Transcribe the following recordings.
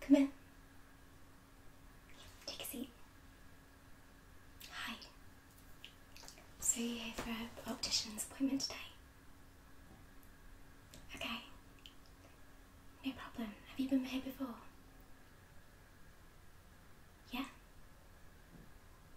Come in. Take a seat. Hi. So you're here for an optician's appointment today? Okay. No problem. Have you been here before? Yeah?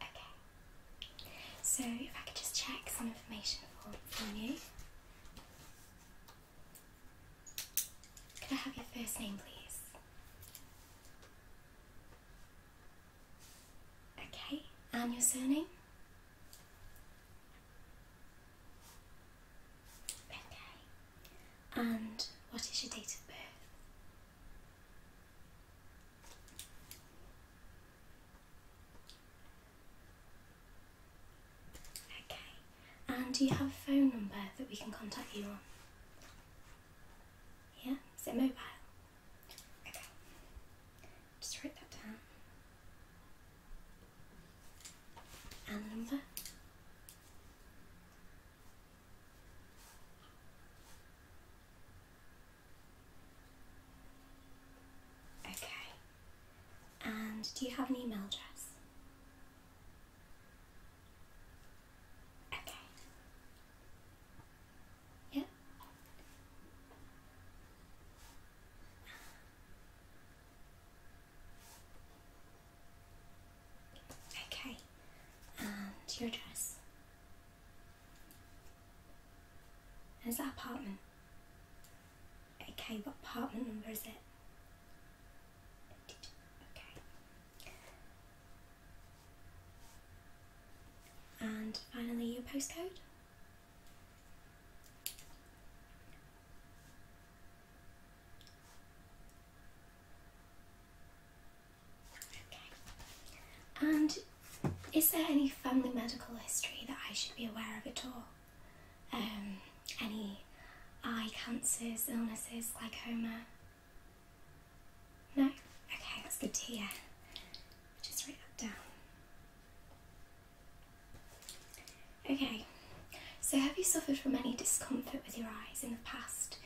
Okay. So if I could just check some information for, you. Could I have your first name, please? Okay, and your surname? Okay, and what is your date of birth? Okay, and do you have a phone number that we can contact you on? Yeah, is it mobile? Okay, just write that down. And the number? Okay. And do you have an email address? Okay. Yep. Okay, and your address? Is that apartment? Okay, what apartment number is it? Okay. And finally, your postcode? And is there any family medical history that I should be aware of at all? Um, any eye cancers, illnesses, glaucoma? No? Okay, that's good to hear. Just write that down. Okay, so have you suffered from any discomfort with your eyes in the past?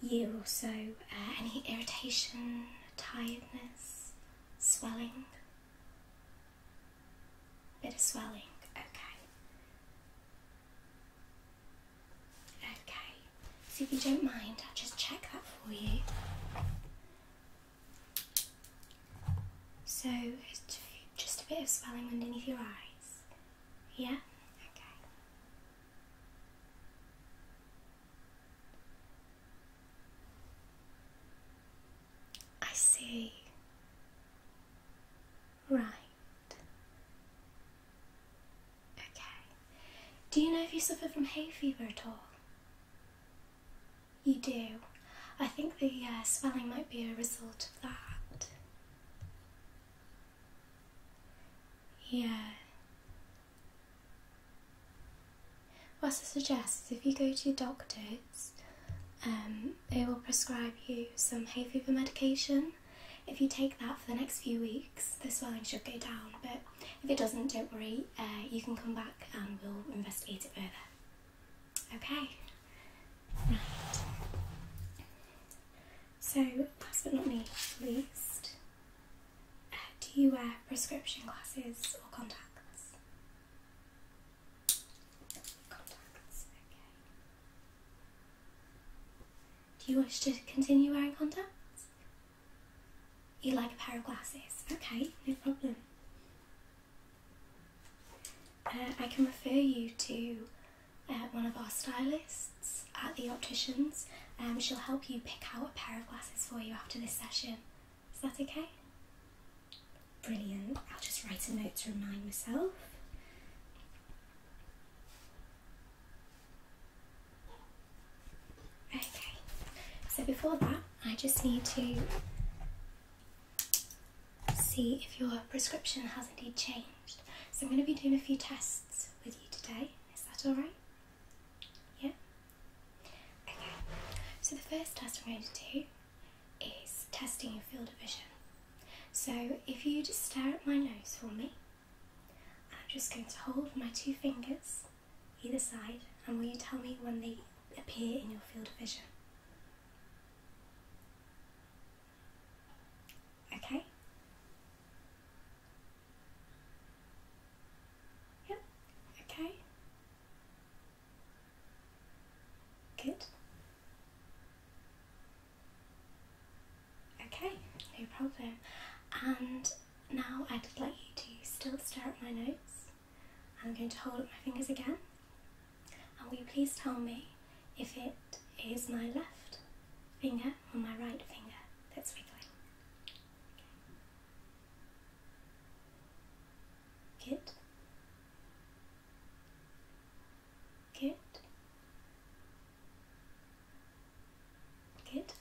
year or so, uh, any irritation, tiredness, swelling? Bit of swelling, okay. Okay, so if you don't mind, I'll just check that for you. So, just a bit of swelling underneath your eyes. Yeah? Okay. I see. Right. Okay. Do you know if you suffer from hay fever at all? You do. I think the uh, swelling might be a result of that. Yeah. What I suggest if you go to doctors, um, they will prescribe you some hay fever medication. If you take that for the next few weeks, the swelling should go down. But if it doesn't, don't worry, uh, you can come back and we'll investigate it further. Okay? Right. So, last but not least, uh, do you wear prescription glasses or contacts? Contacts, okay. Do you wish to continue wearing contacts? You like a pair of glasses? Okay, no problem. Uh, I can refer you to one of our stylists at the opticians. and um, she'll help you pick out a pair of glasses for you after this session. Is that okay? Brilliant. I'll just write a note to remind myself. Okay, so before that, I just need to see if your prescription has indeed changed. So I'm going to be doing a few tests with you today. Is that alright? Yeah? Okay. So the first test I'm going to do is testing your field of vision. So if you just stare at my nose for me, I'm just going to hold my two fingers either side and will you tell me when they appear in your field of vision? Okay, Yep, okay. Good. Okay, no problem. And now I'd like you to still stare at my notes. I'm going to hold up my fingers again. And will you please tell me if it is my left finger or my right finger that's wiggling. Good. Good. Good.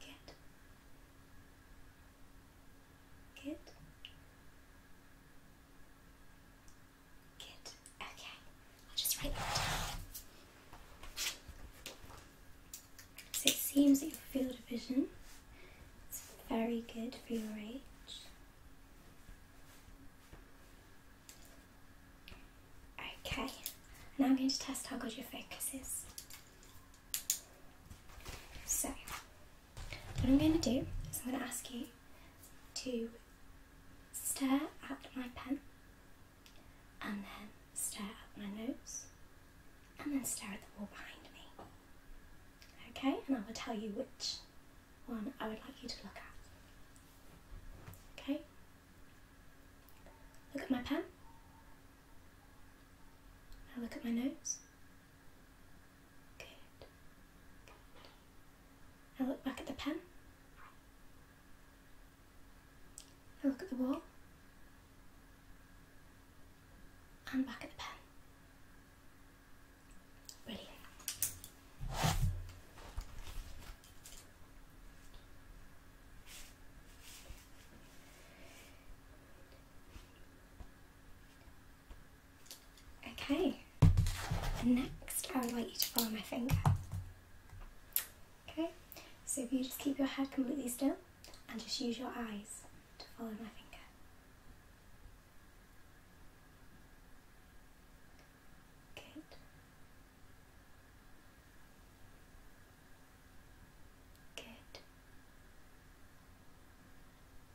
Good. Good. Okay. I'll just write that So it seems that your field of vision is very good for your age. Okay. Now I'm going to test how good your focus is. So what I'm going to do is I'm going to ask you to stare at my pen and then stare at my notes, and then stare at the wall behind me. Okay, and I will tell you which one I would like you to look at. Okay? Look at my pen. Now look at my notes. Good. Good. I look back at the pen. I look at the wall. And back at the pen. Brilliant. Okay, next I would like you to follow my finger. Okay, so if you just keep your head completely still and just use your eyes to follow my finger. Good.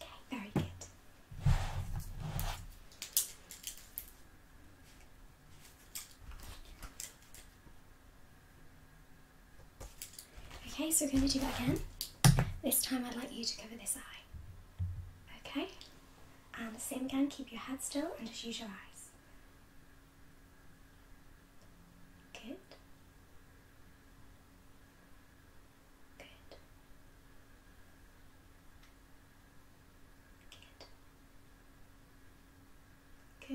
Okay, very good. Okay, so we're going to do that again. This time I'd like you to cover this eye. Okay? And the same again, keep your head still and just use your eyes. Good. Good. Good. Good.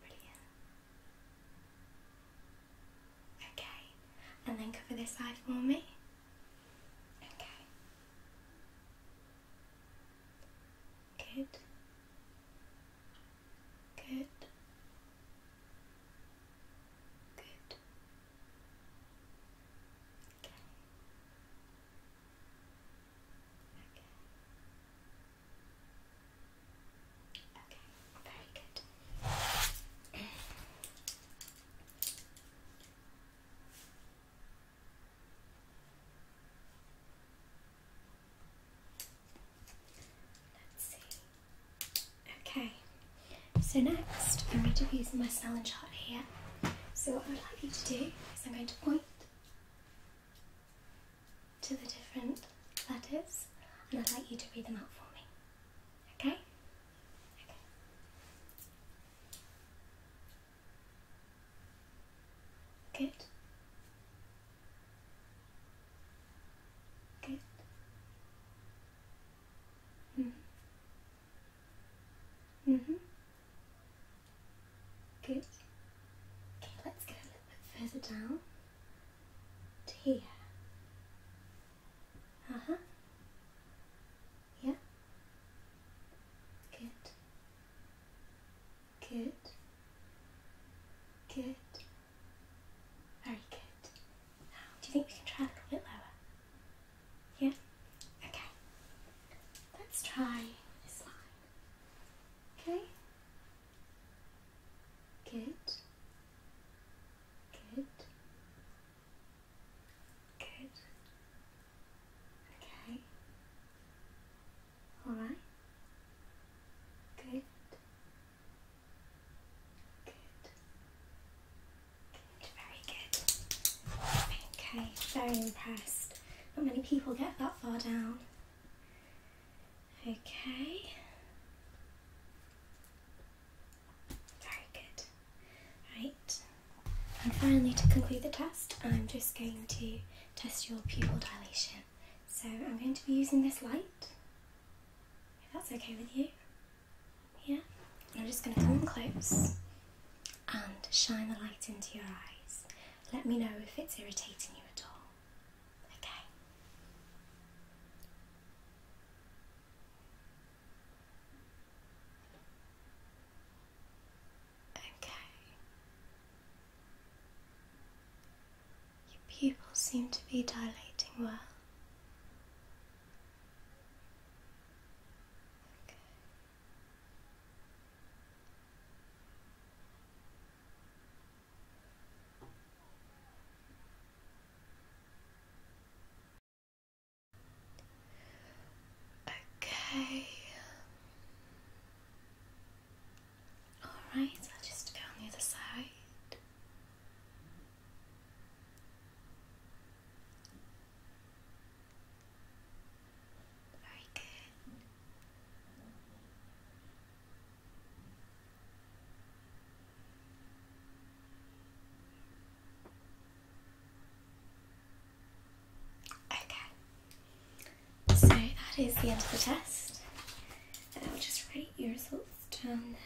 Brilliant. Okay, and then cover this eye for me. Okay. Good. Good. Good. Okay. Okay. Okay. Very good. Let's see. Okay, so next I'm going to be using my Snellen chart here. So what I would like you to do is I'm going to point to the different letters and I'd like you to read them out for me. Okay. Good. Good. Mm. Mhm. Mm Good. Okay, let's go a little bit further down to here. Uh huh. Yeah. Good. Good. Good. Very good. Now, do you think we can try a little bit lower? Yeah? Okay. Let's try this line. Okay? Good. Good. Good. Okay. All right. Good. Good. Good. Very good. Okay. Very impressed. Not many people get that far down. Okay. Very good. Right. And finally, to conclude the test, I'm just going to test your pupil dilation. So I'm going to be using this light, if that's okay with you. Yeah? I'm just going to come close and shine the light into your eyes. Let me know if it's irritating you at all. Okay. Okay. Your pupils seem to be dilating well. Okay. Okay. Alright, so I'll just go on the other side. Very good. Okay, so that is the end of the test. And I'll just write your results down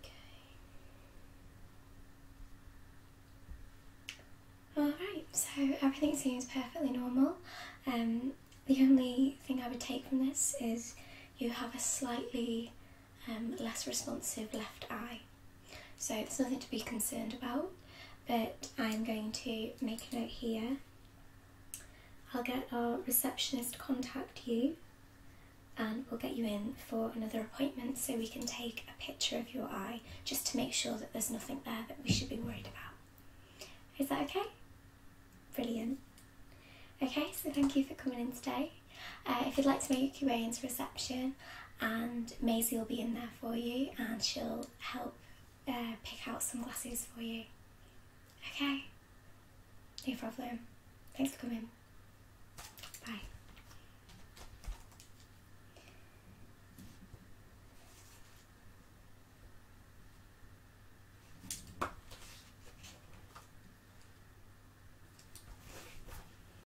Okay. Alright, so everything seems perfectly normal. Um, the only thing I would take from this is you have a slightly um, less responsive left eye. So there's nothing to be concerned about, but I'm going to make a note here. I'll get our receptionist to contact you and we'll get you in for another appointment so we can take a picture of your eye just to make sure that there's nothing there that we should be worried about. Is that okay? Brilliant. Okay, so thank you for coming in today. Uh, if you'd like to make your way into reception, and Maisie will be in there for you and she'll help uh, pick out some glasses for you. Okay? No problem. Thanks for coming. Bye.